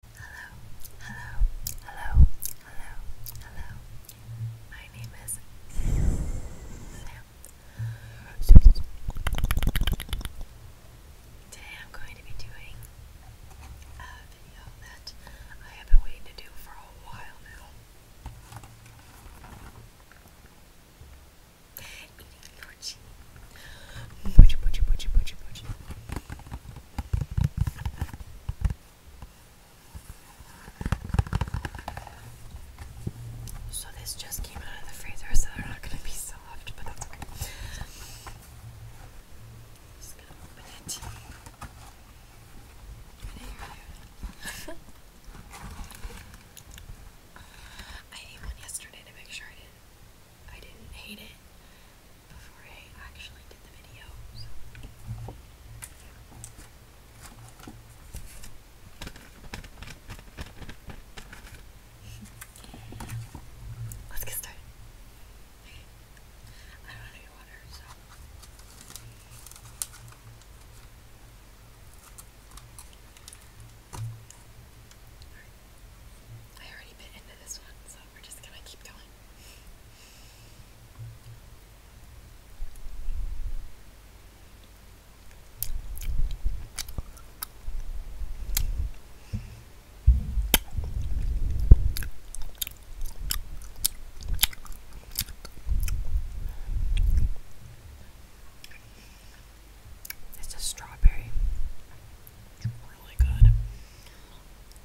Hello, hello, hello, hello, hello. My name is Sam. Today I'm going to be doing a video that I have been waiting to do for a while now. Eating your cheese. Butchie, butchie, butchie, butchie, butchie. So this just came out of the freezer, so they're not gonna be soft, but that's okay. Just gonna open it. I ate one yesterday to make sure I didn't I didn't hate it before I actually did the video. Let's get started. I don't want water, so. I already bit into this one, we're just gonna keep going. It's a strawberry. It's really good.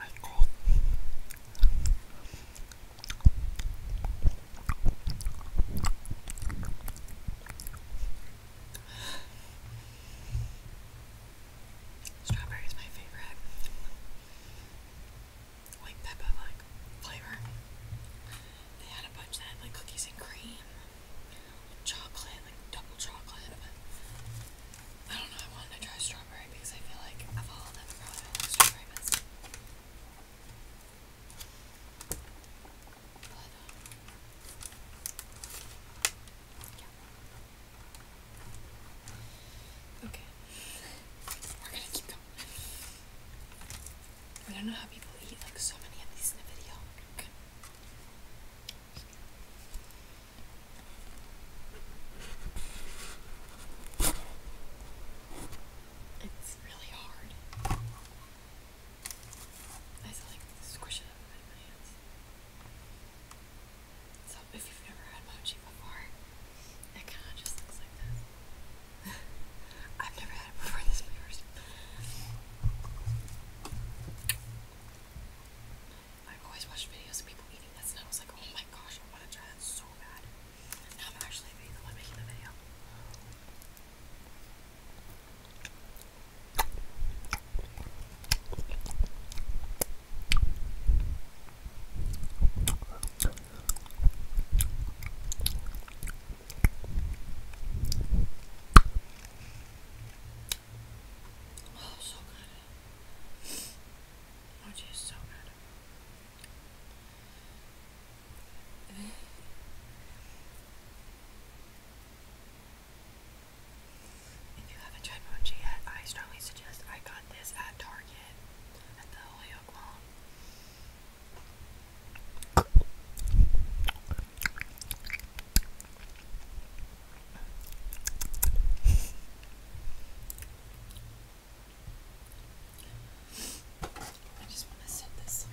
I cold. Strawberry is my favorite. White pepper like flavor. They had a bunch that like cookies and cream, chocolate, like double chocolate. I don't know. I wanted to try strawberry because I feel like of all of them, I like strawberry best. Okay. We're gonna keep going. I don't know how people eat like so many of these in a video. It's really hard. I have like squish it up so if you've never had mochi before, it kind of just looks like this. I've never had it before, this is i I've always watched videos of people eating this, and I was like, oh my gosh, I want to try that so bad. Now I'm actually the one making the video. Oh, so good. Oh, geez, so good. If you haven't tried mochi yet, I strongly suggest I got this at Target. I just want to set this somewhere.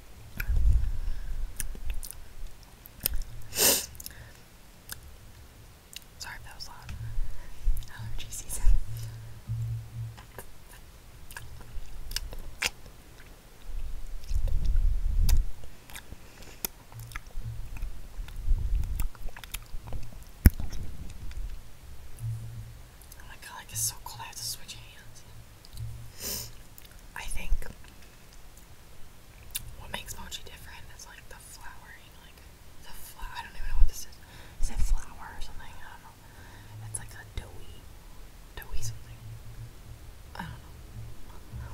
Sorry that was loud. Allergy season. Oh my god, it's so cold I have to switch hands. I think what makes mochi different is like the flouring, like the flour. I don't even know what this is. Is it flour or something? I don't know. It's like a doughy, doughy something. I don't know.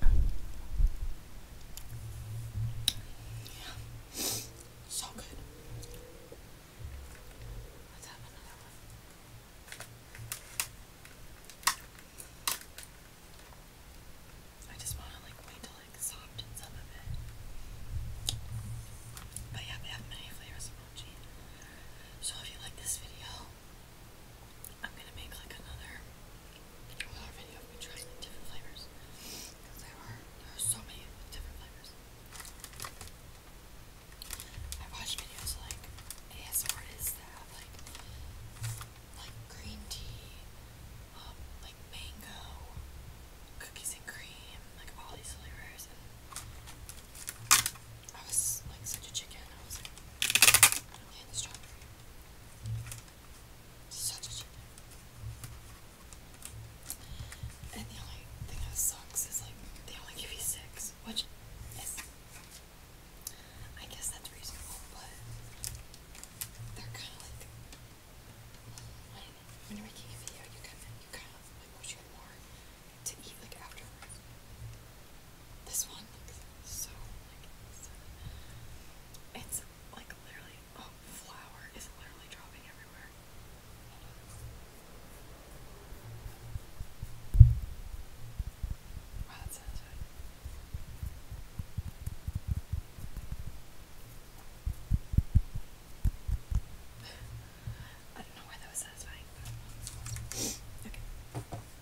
Yeah. So good. Let's have another one. I just want to like wait till like soften some of it. But yeah, we have many flavors of So if you like this video, I'm gonna make like another, another video of me trying different flavors. Because there are there are so many different flavors. I watch videos like ASMR artists that like like green tea, um, like mango, cookies and cream, like all these flavors and I was like such a chicken. I was like, I don't need this Such a chicken. And the only thing that sucks is like they only give you six, which is I guess that's reasonable, but they're kind of like when, you're making a video, you kind of you kind of like wish you more to eat like afterwards. This one looks so like It's like literally oh flower is literally dropping everywhere. Wow, that sounds good. I don't know why that was satisfying, okay.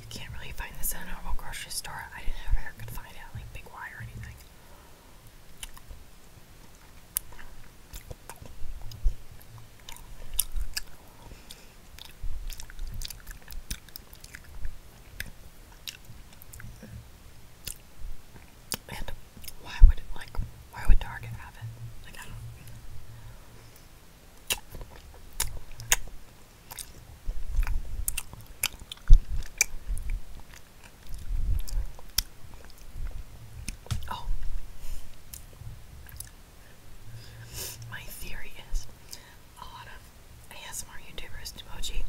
You can't really find this in a normal grocery store. I didn't know ever could find it like Big Y or anything. And why would like why would Target have it? Like I don't Oh. My theory is a lot of ASMR YouTubers do Moji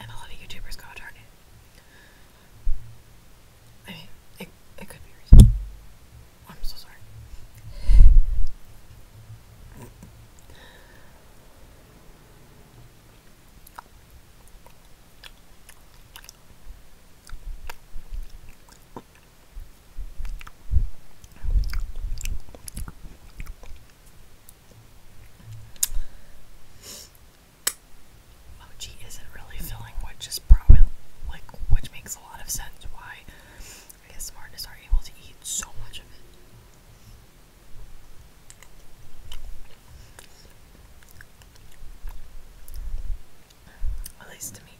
and a lot of YouTubers go to Target. I mean, it, it could be I'm so sorry. Mochi isn't really filling, which is probably like which makes a lot of sense why I guess smartness are able to eat so much of it. At least to me.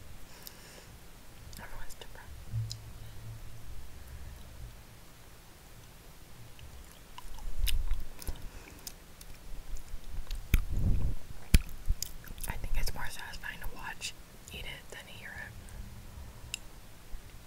Everyone's different. I think it's more satisfying to watch eat it than to hear it.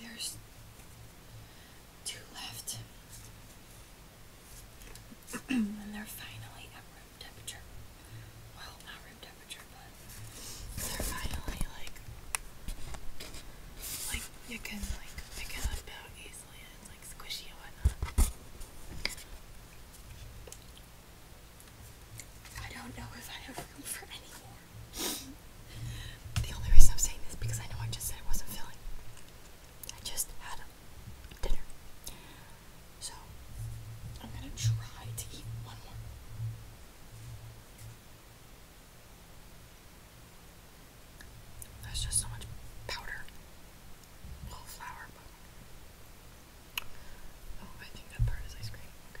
there's two left. and they're finally at room temperature. Well, not room temperature, but they're finally like like you can like pick it up out easily and like squishy and whatnot. I don't know if I have room for any more. The only reason I'm saying this because I know I just said I wasn't feeling. I just had dinner. So, I'm gonna try to eat one more. There's just so much powder. Well, flour, Oh, I think that part is ice cream. Okay.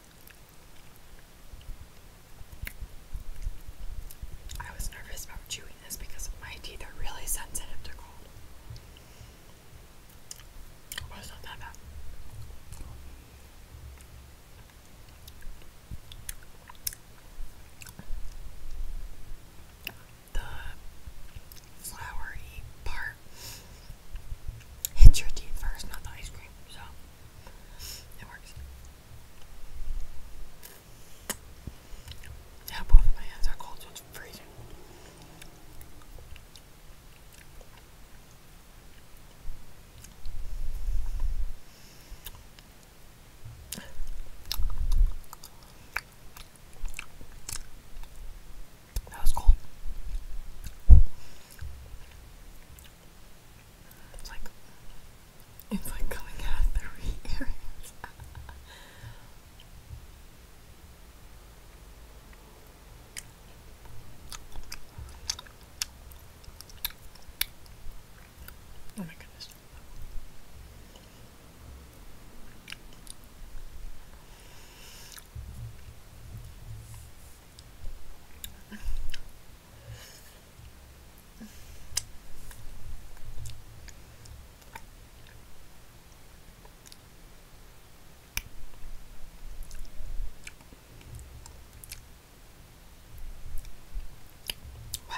I was nervous about chewing this because my teeth are really sensitive to cold. Well, not that bad. The flowery part hits your teeth first, not the ice cream, so it works. Yeah, both of my hands are cold, it's freezing. That was cold. It's like it's like coming out of three areas. oh my goodness. Wow.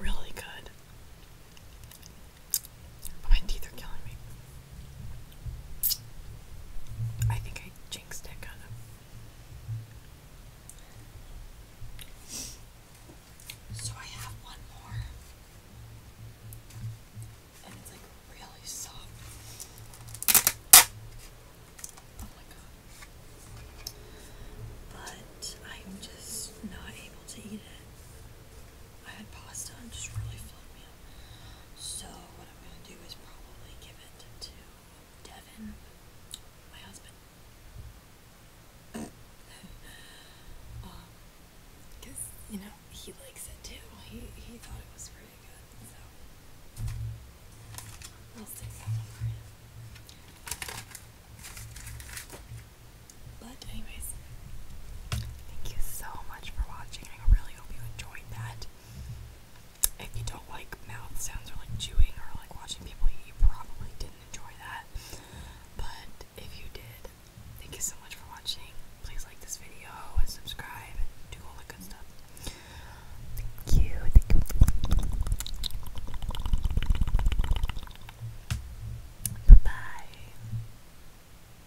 Really good. But my teeth are killing me. I think I jinxed it kind So I have one more. And it's like really soft. Oh my god. But I'm just not able to eat it. I had pasta and just really filled me up. So what I'm gonna do is probably give it to Devin, my husband. Um, cause you know he likes it too. He he thought it was pretty good. So we'll stick that for him. But anyways. Thank you so much for watching. I really hope you enjoyed that. If you don't like mouth sounds or like chewing or like watching people eat, you probably didn't enjoy that. But if you did, thank you so much for watching. Please like this video and subscribe and do all the good stuff. Thank you. Bye bye.